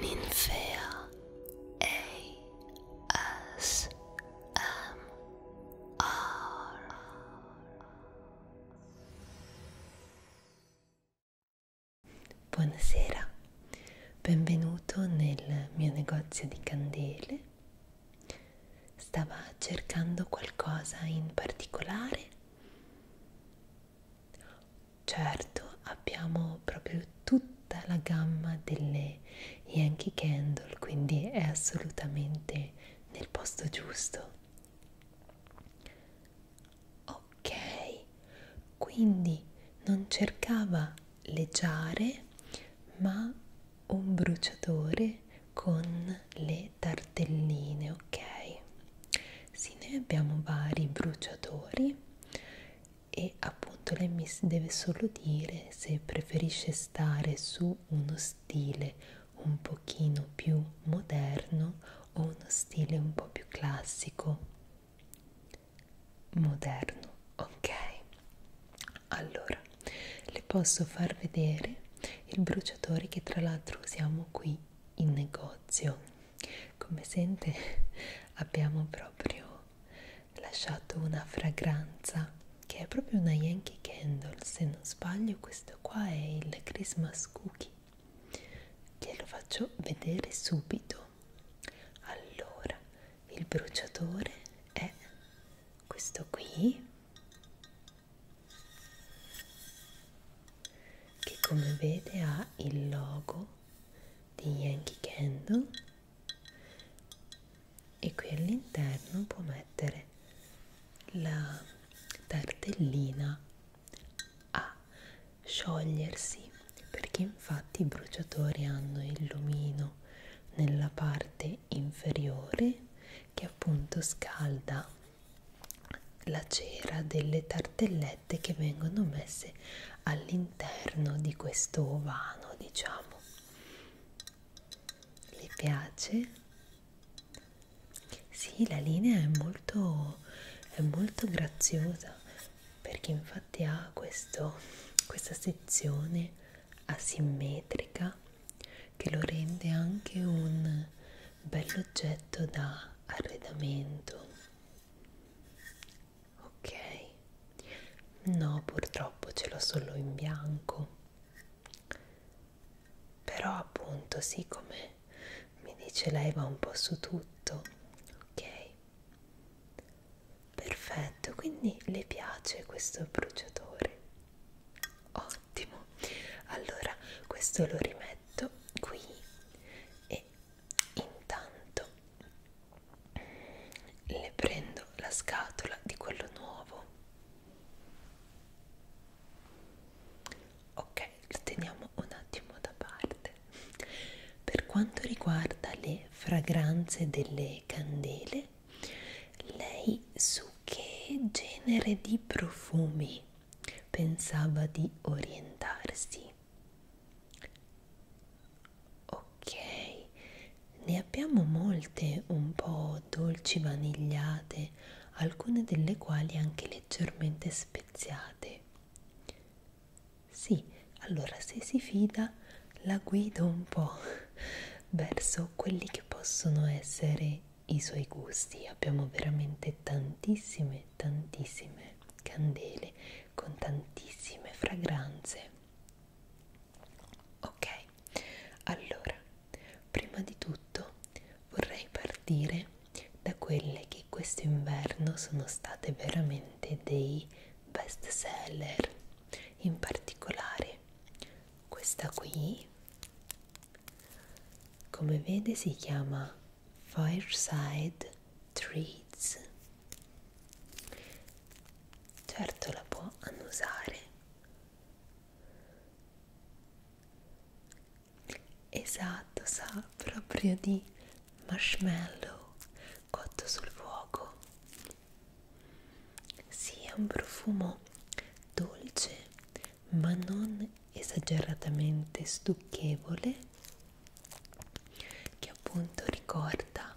Ninfea ASMR Buonasera, benvenuto nel mio negozio di candele. Stava cercando qualcosa in particolare? Certo, abbiamo proprio tutta la gamma delle Yankee Candle, quindi è assolutamente nel posto giusto. Ok, quindi non cercava le giare, ma un bruciatore con le tartelline, ok? Sì, noi abbiamo vari bruciatori e appunto lei mi deve solo dire se preferisce stare su uno stile un pochino più moderno o uno stile un po' più classico moderno ok allora le posso far vedere il bruciatore che tra l'altro usiamo qui in negozio come sente abbiamo proprio lasciato una fragranza che è proprio una Yankee Candle se non sbaglio questo qua è il Christmas Cookie glielo faccio vedere subito allora il bruciatore è questo qui che come vede ha il logo di Yankee Candle e qui all'interno può mettere la tartellina a sciogliersi perché infatti i bruciatori hanno il lumino nella parte inferiore che appunto scalda la cera delle tartellette che vengono messe all'interno di questo ovano diciamo le piace sì la linea è molto è molto graziosa perché infatti ha questo, questa sezione asimmetrica che lo rende anche un bell'oggetto da arredamento ok no purtroppo ce l'ho solo in bianco però appunto siccome mi dice lei va un po' su tutto ok perfetto quindi le piace questo bruciatore ottimo allora questo lo rimetto qui e Intanto le prendo la scatola di quello nuovo. Ok, lo teniamo un attimo da parte. Per quanto riguarda le fragranze delle candele, lei su che genere di profumi pensava di orientarsi. Ok, ne abbiamo molte un po' dolci vanigliate, alcune delle quali anche leggermente speziate. Sì, allora se si fida la guido un po' verso quelli che possono essere i suoi gusti. Abbiamo veramente tantissime tantissime candele con tantissime fragranze ok allora prima di tutto vorrei partire da quelle che questo inverno sono state veramente dei best seller in particolare questa qui come vede si chiama Fireside Treats. Certo la può annusare. Esatto, sa proprio di marshmallow cotto sul fuoco. Sì, è un profumo dolce, ma non esageratamente stucchevole che appunto ricorda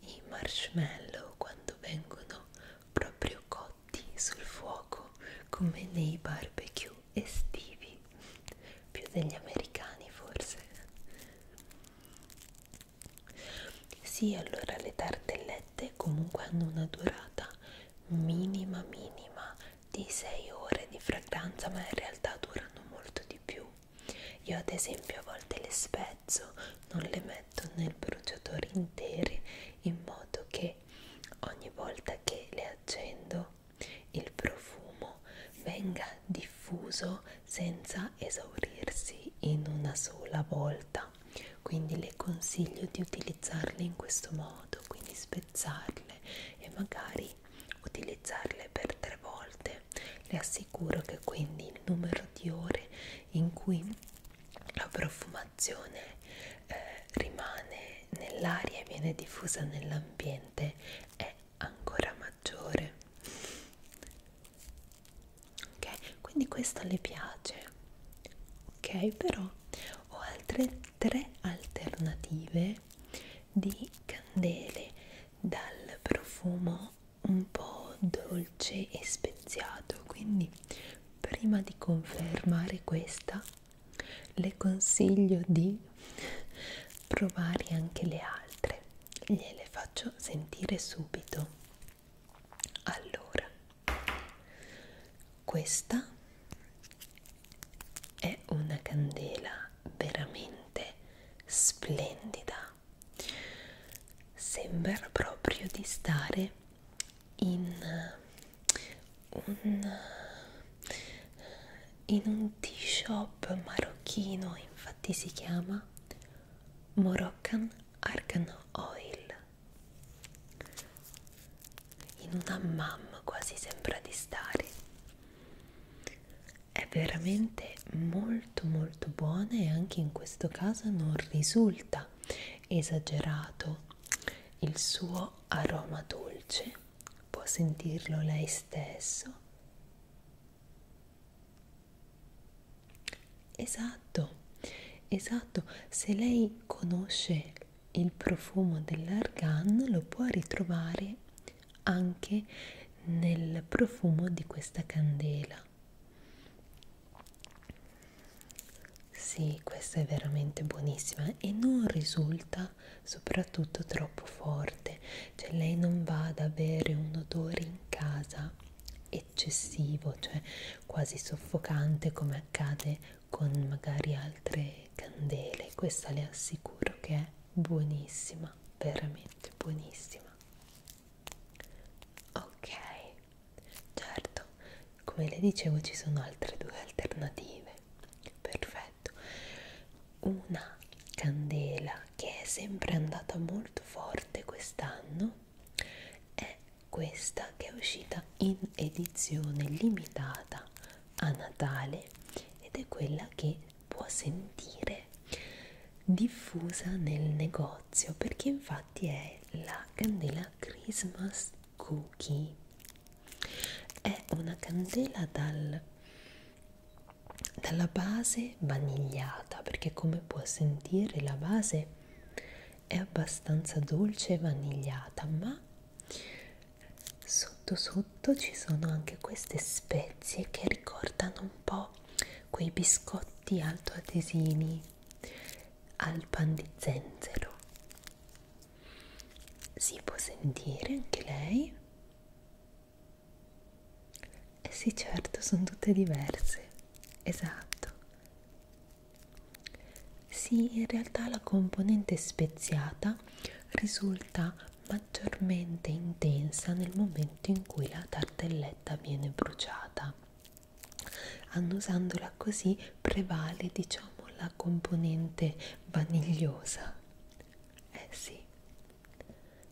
i marshmallow quando vengono proprio cotti sul fuoco come nei barbecue estivi più degli americani forse sì allora le tartellette comunque hanno una durata minima minima di 6 ore di fragranza ma in realtà durano molto di più io ad esempio a volte le spezzo non le metto nel bruciatore interi in modo che ogni volta che le accendo il profumo venga diffuso senza esaurirsi in una sola volta quindi le consiglio di utilizzarle in questo modo quindi spezzarle e magari utilizzarle per tre volte le assicuro che quindi il numero di ore in cui la profumazione eh, rimane nell'aria e viene diffusa nell'ambiente è ancora maggiore ok quindi questo le piace ok però ho altre tre alternative di candele dal profumo un po' dolce e speziato quindi prima di confermare questa le consiglio di provare anche le altre gliele faccio sentire subito allora questa è una candela veramente splendida sembra proprio di stare in un, in un tea shop marocchino infatti si chiama Moroccan Argan Oil in un hammam quasi sembra di stare è veramente molto molto buona e anche in questo caso non risulta esagerato il suo aroma dolce può sentirlo lei stesso esatto esatto se lei conosce il profumo dell'argan lo può ritrovare anche nel profumo di questa candela sì questa è veramente buonissima e non risulta soprattutto troppo forte cioè lei non va ad avere un odore in casa eccessivo cioè quasi soffocante come accade con magari altre candele questa le assicuro che è buonissima veramente buonissima ok certo come le dicevo ci sono altre due alternative perfetto una candela che è sempre andata molto forte quest'anno è questa che è uscita in edizione limitata a Natale ed è quella che può sentire diffusa nel negozio perché infatti è la candela Christmas Cookie è una candela dal, dalla base vanigliata perché come può sentire la base è abbastanza dolce e vanigliata ma sotto sotto ci sono anche queste spezie che ricordano un po' quei biscotti altoatesini al pan di zenzero si può sentire anche lei? Eh sì certo, sono tutte diverse, esatto, sì, in realtà la componente speziata risulta maggiormente intensa nel momento in cui la tartelletta viene bruciata. Annusandola così prevale, diciamo, la componente vanigliosa. Eh sì,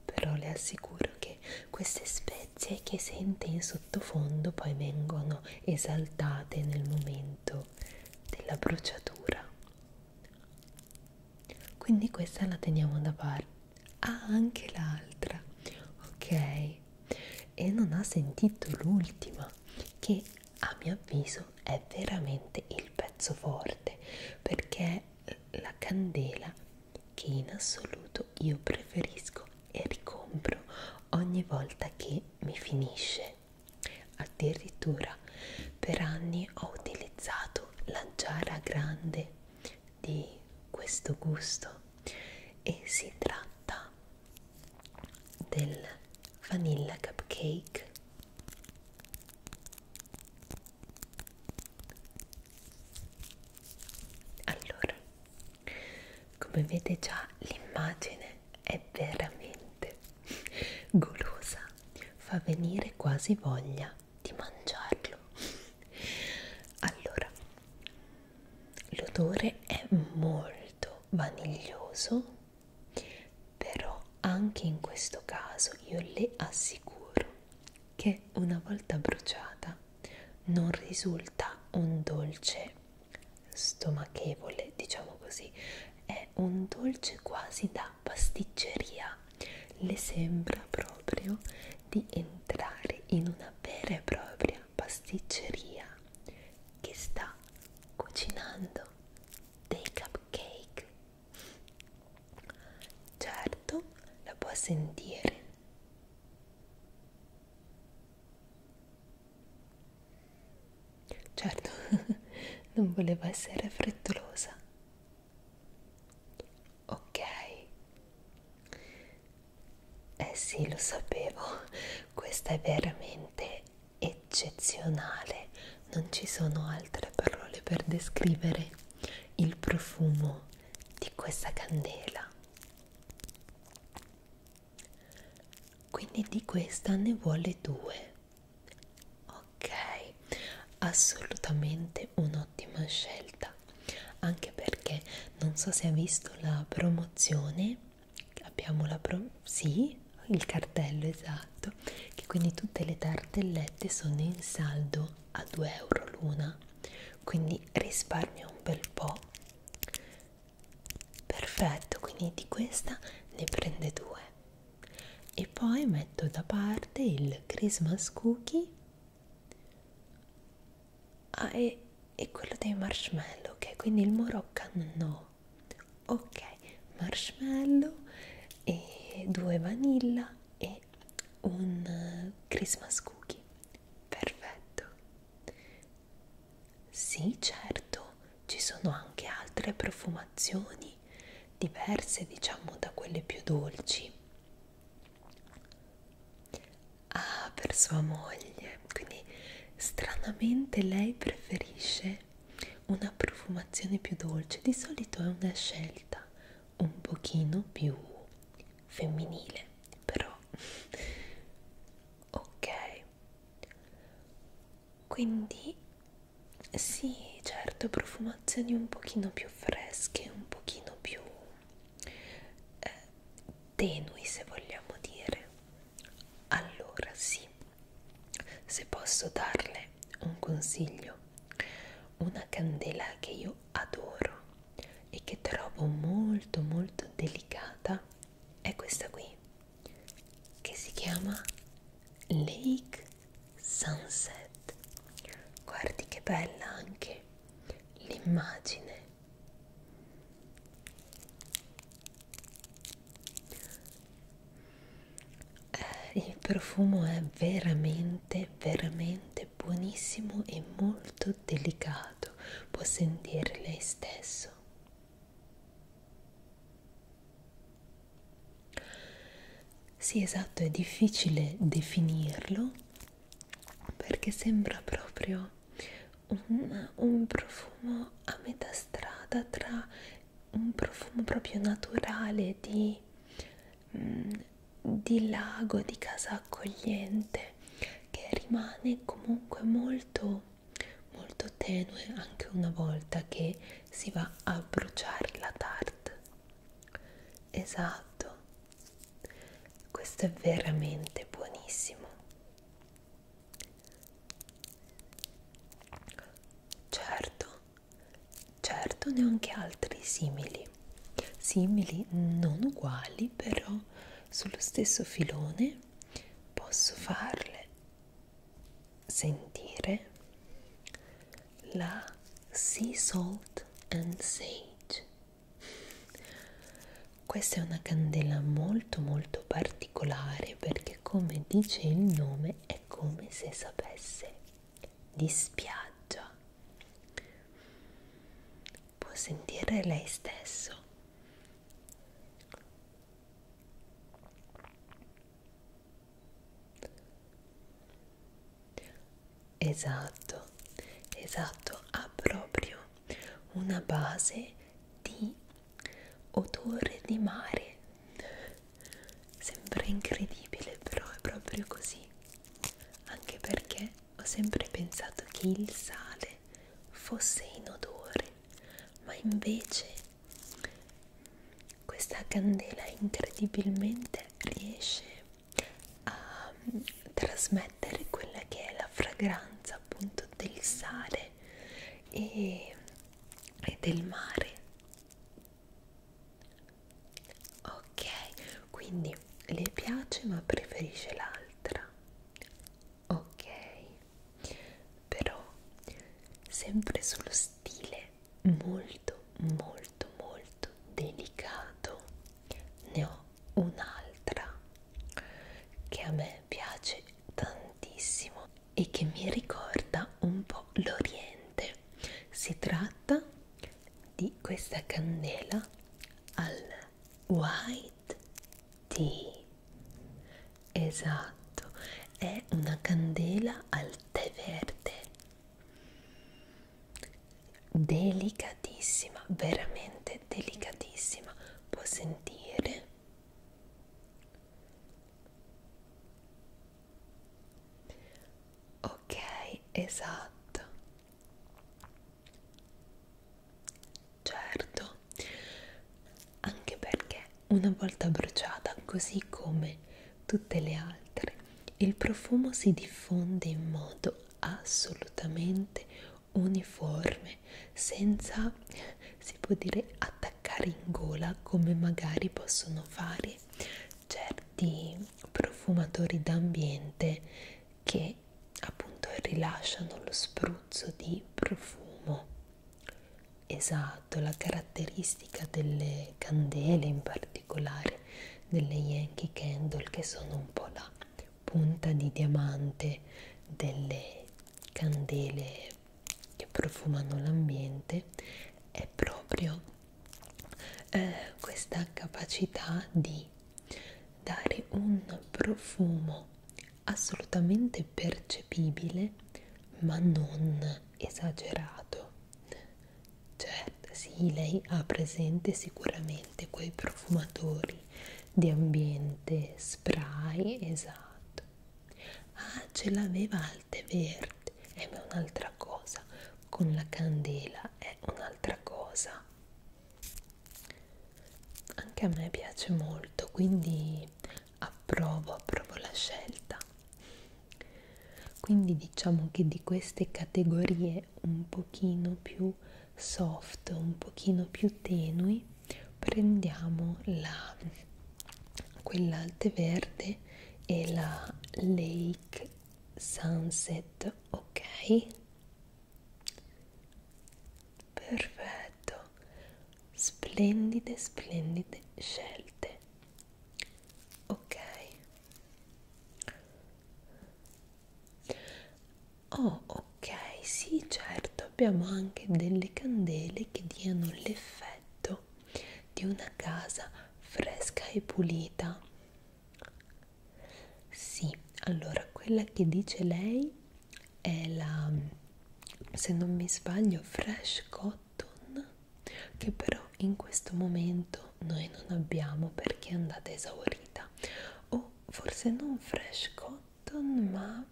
però le assicuro che queste spezie che sente in sottofondo poi vengono esaltate nel momento della bruciatura quindi questa la teniamo da parte ah anche l'altra ok e non ha sentito l'ultima che a mio avviso è veramente il pezzo forte perché è la candela che in assoluto io preferisco e ricompro ogni volta che mi finisce voce. Addirittura per anni ho utilizzato la giara grande di questo gusto e si tratta del vanilla cupcake allora come vede già l'immagine è veramente golosa, fa venire quasi voglia di mangiarlo. Allora, l'odore è molto vaniglioso, però anche in questo caso io le assicuro che una volta bruciata non risulta un dolce stomachevole, diciamo così, è un dolce quasi da pasticceria. Le sembra proprio di entrare in una vera e propria pasticceria che sta cucinando dei cupcake. Certo, la può sentire. Certo, non volevo essere frettolosa. Ok. Eh sì, lo sapevo. Questa è veramente eccezionale. Non ci sono altre parole per descrivere il profumo di questa candela quindi di questa ne vuole due ok assolutamente un'ottima scelta anche perché non so se ha visto la promozione abbiamo la pro sì il cartello esatto che quindi tutte le tartellette sono in saldo a 2 euro l'una quindi risparmia un bel po perfetto quindi di questa ne prende due e poi metto da parte il Christmas cookie ah, e, e quello dei marshmallow ok quindi il Moroccan no ok marshmallow e due vanilla e un eh, Christmas cookie perfetto sì, certo, ci sono anche altre profumazioni diverse, diciamo, da quelle più dolci. Ah, per sua moglie, quindi stranamente lei preferisce una profumazione più dolce, di solito è una scelta un pochino più femminile, però ok quindi sì certo profumazioni un pochino più fresche un pochino più eh, tenui se vogliamo dire allora sì se posso darle un consiglio una candela che io adoro e che trovo molto molto delicata è questa qui che si chiama Lake Sunset guardi che bella anche l'immagine eh, il profumo è veramente veramente buonissimo e molto sorriso delicato può sentire lei stesso. Sì, esatto, è difficile definirlo perché sembra proprio un, un profumo a metà strada tra un profumo proprio naturale di, mm, di lago, di casa accogliente che rimane comunque molto molto tenue anche una volta che si va a bruciare la tarte esatto questo è veramente buonissimo certo certo ne ho anche altri simili simili non uguali però sono sullo stesso filone posso farle sentire la sea salt and sage questa è una candela molto molto particolare perché come dice il nome è come se sapesse di spiaggia può sentire lei stesso. Esatto, esatto, ha proprio una base di odore di mare. Sembra incredibile, però è proprio così. Anche perché ho sempre pensato che il sale fosse inodore, ma invece questa candela incredibilmente riesce a mm, trasmettere quella che è la fragranza appunto del sale e, e del mare. Ok, quindi le piace ma preferisce l'altra ok però sempre sullo stile molto molto molto delicato ne ho un'altra che a me piace tantissimo e che mi ricorda un po' l'Oriente. Si tratta di questa candela al wine light tea esatto è una candela al tè verde delicatissima veramente delicatissima può sentire ok esatto Certo, anche perché una volta bruciata, così come tutte le altre, il profumo si diffonde in modo assolutamente uniforme, senza, si può dire, attaccare in gola come magari possono fare certi profumatori d'ambiente che appunto rilasciano lo spruzzo di profumo esatto la caratteristica delle candele in particolare delle yankee candle che sono un po' la punta di diamante delle candele che profumano l'ambiente è proprio eh, questa capacità di dare un profumo assolutamente percepibile ma non esagerato certo sì lei ha presente sicuramente quei profumatori di ambiente spray esatto ah ce l'aveva Alteverde eh, è un'altra cosa con la candela è un'altra cosa anche a me piace molto quindi approvo approvo la scelta quindi diciamo che di queste categorie un pochino più soft un pochino più tenui prendiamo la quella alte verde e la lake sunset ok Perfetto, splendide, splendide scelte. Ok. Oh, ok, sì, certo, abbiamo anche delle candele che diano l'effetto di una casa fresca e pulita. Sì, allora quella che dice lei è la, se non mi sbaglio, Fresh Cotton, che però in questo momento noi non abbiamo perché è andata esaurita. O forse non Fresh Cotton, ma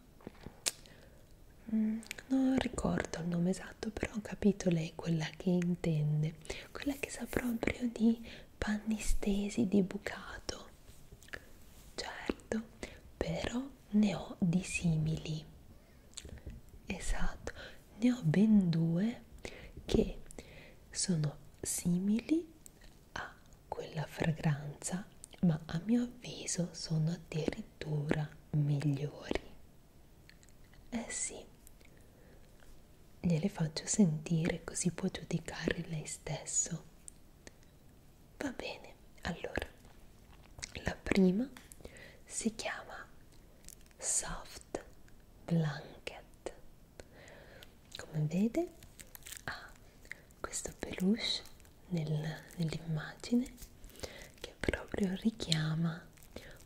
mm, non ricordo il nome esatto, però ho capito lei quella che intende, quella che sa proprio di panni stesi di bucato. Certo, però ne ho di simili. Esatto, ne ho ben due che sono simili a quella fragranza, ma a mio avviso sono addirittura migliori. Eh sì, Gliele faccio sentire così può giudicare lei stesso. Va bene, allora, la prima si chiama Soft Blanket. Come vede ha ah, questo peluche nel, nell'immagine che proprio richiama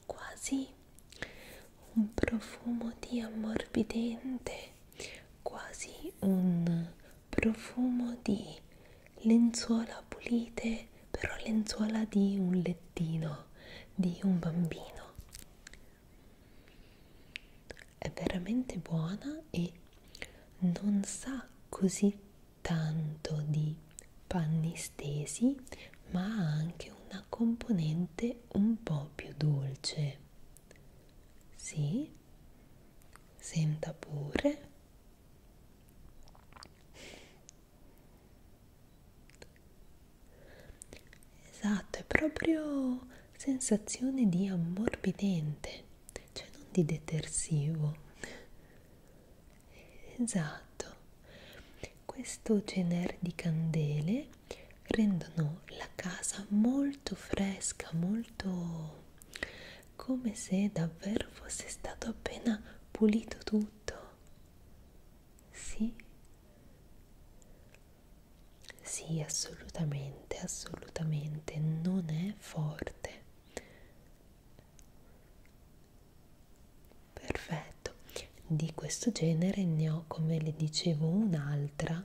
quasi un profumo di ammorbidente, quasi un profumo di lenzuola pulite, però lenzuola di un lettino, di un bambino. È veramente buona e non sa così tanto di panni stesi, ma ha anche una componente parte un po' più dolce. Sì, senta pure. Esatto, è proprio sensazione di ammorbidente, cioè non di detersivo. Esatto, questo cener di candele rendono la casa molto fresca, molto come se davvero fosse stato appena pulito tutto. Sì? Sì, assolutamente, assolutamente, non è forte. Perfetto, di questo genere ne ho, come le dicevo, un'altra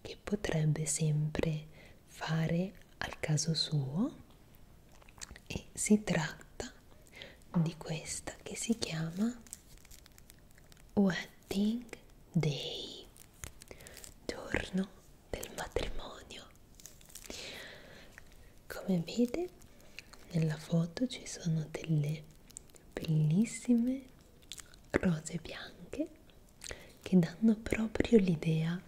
che potrebbe sempre fare al caso suo e si tratta di questa che si chiama Wedding Day, giorno del matrimonio. Come vede nella foto ci sono delle bellissime rose bianche che danno proprio l'idea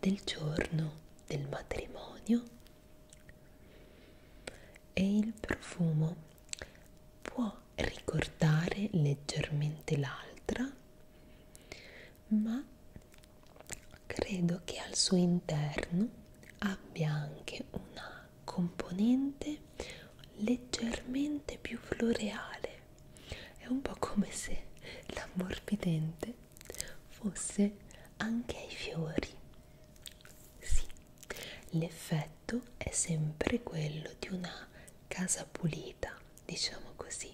del giorno del matrimonio e il profumo può ricordare leggermente l'altra ma credo che al suo interno abbia anche una componente leggermente più floreale è un po' come se l'ammorbidente fosse anche ai fiori sì l'effetto è sempre quello di una casa pulita diciamo così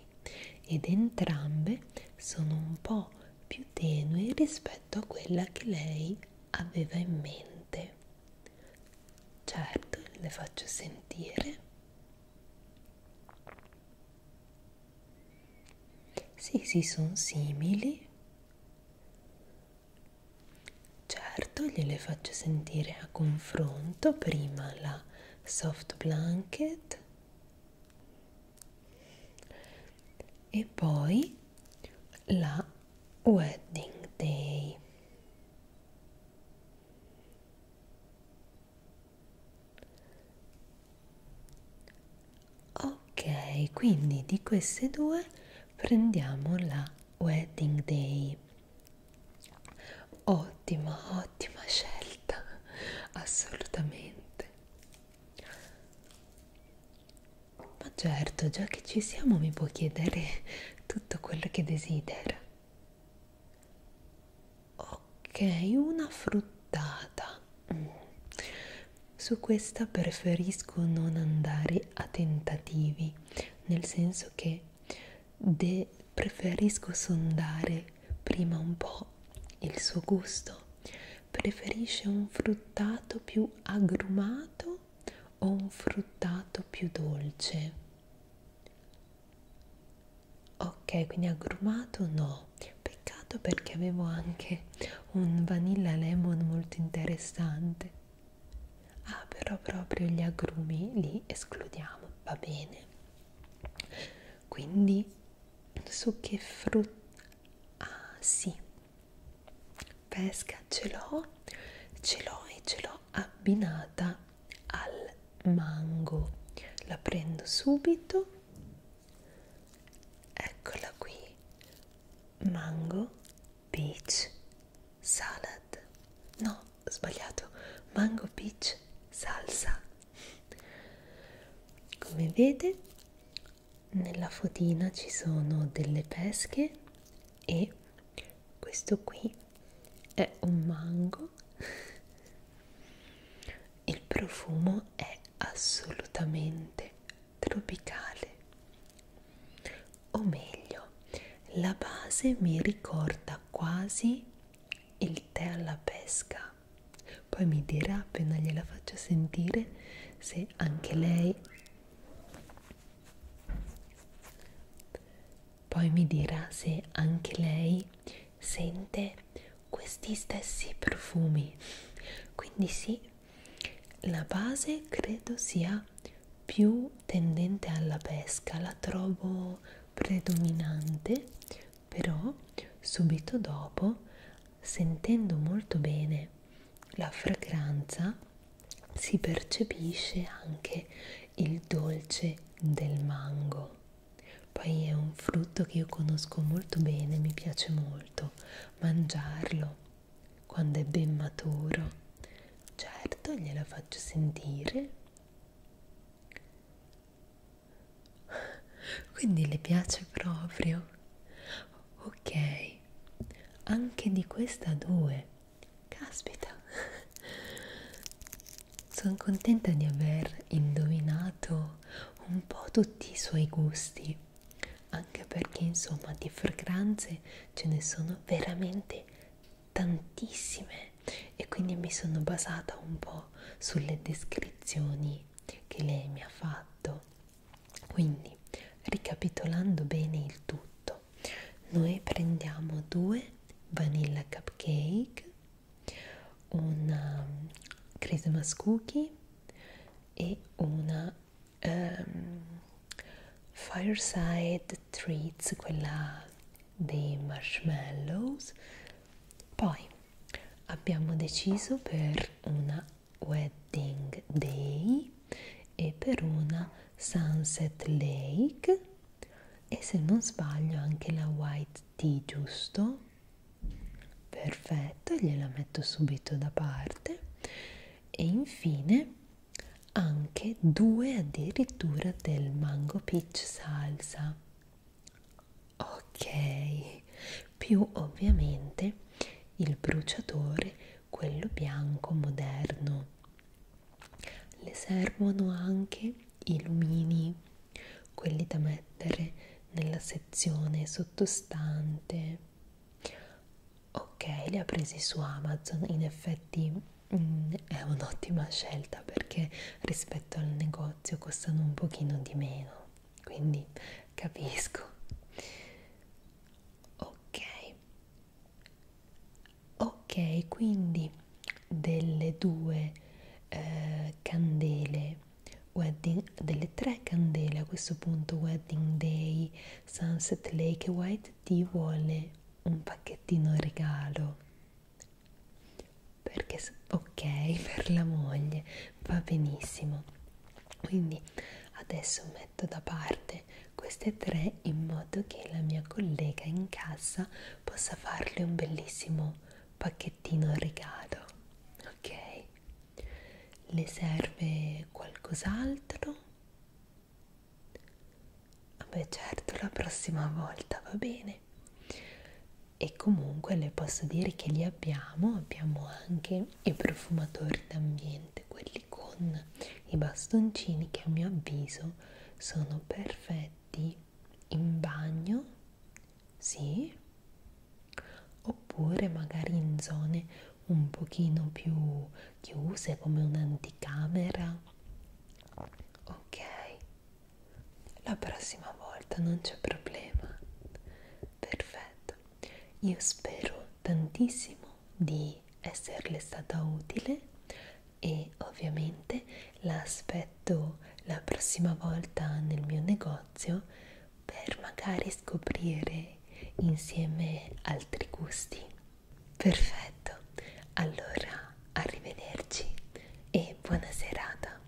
ed entrambe sono un po' più tenue rispetto a quella che lei aveva in mente Certo, le faccio sentire. Sì, sì, sono simili. Certo, gliele faccio sentire a confronto prima la soft blanket e poi la wedding day ok quindi di queste due prendiamo la wedding day ottima ottima scelta assolutamente ma certo, già che ci siamo mi può chiedere tutto quello che desidera. Ok, una fruttata. Mm. Su questa preferisco non andare a tentativi, nel senso che de preferisco sondare prima un po' il suo gusto. Preferisce un fruttato più agrumato o un fruttato più dolce? Ok, quindi agrumato no, peccato perché avevo anche un vanilla lemon molto interessante. Ah, però proprio gli agrumi li escludiamo, va bene. Quindi su che frutta? Ah, sì, pesca ce l'ho ce l'ho e ce l'ho abbinata al mango la prendo subito eccola qui mango peach salad no sbagliato mango peach salsa come vede nella fotina ci sono delle pesche e questo qui è un mango il profumo è assolutamente tropicale o meglio la base mi ricorda quasi il tè alla pesca poi mi dirà appena gliela faccio sentire se anche lei poi mi dirà se anche lei sente questi stessi profumi. Quindi sì, la base credo sia più tendente alla pesca, la trovo predominante, però subito dopo, sentendo molto bene la fragranza, si percepisce anche il dolce del mango. Poi è un frutto che io conosco molto bene, mi piace molto mangiarlo quando è ben maturo. Certo, gliela faccio sentire. Quindi le piace proprio. Ok, sì, anche di questa due. Caspita! Sono contenta di aver indovinato un po' tutti i suoi gusti, anche perché insomma di fragranze ce ne sono veramente tantissime e quindi mi sono basata un po' sulle descrizioni che lei mi ha fatto quindi, ricapitolando bene il tutto, noi prendiamo due vanilla cupcake, una um, Christmas cookie e una um, fireside treats, quella dei marshmallows. Poi abbiamo deciso per una Wedding Day e per una Sunset Lake e se non sbaglio anche la White Tea, giusto? Perfetto, gliela metto subito da parte e infine anche due addirittura del mango peach salsa ok più ovviamente il bruciatore, quello bianco moderno. Le servono anche i lumini, quelli da mettere nella sezione sottostante. Ok, li ha presi su Amazon, in effetti mh, mm, è un'ottima scelta perché rispetto al negozio costano un pochino di meno quindi capisco ok ok quindi delle due eh, candele wedding delle tre candele a questo punto wedding day sunset lake white tea vuole un pacchettino regalo perché ok per la moglie va benissimo quindi adesso metto da parte queste tre in modo che la mia collega in casa possa farle un bellissimo pacchettino regalo ok le serve qualcos'altro vabbè certo la prossima volta va bene e comunque le posso dire che li abbiamo abbiamo anche i profumatori d'ambiente, quelli con i bastoncini che a mio avviso sono perfetti in bagno, sì, oppure magari in zone un pochino più chiuse come un'anticamera. Ok, la prossima volta non c'è problema. Perfetto. Io spero tantissimo di esserle stata utile e ovviamente la aspetto la prossima volta nel mio negozio per magari scoprire insieme altri gusti. Perfetto, allora arrivederci e buona serata.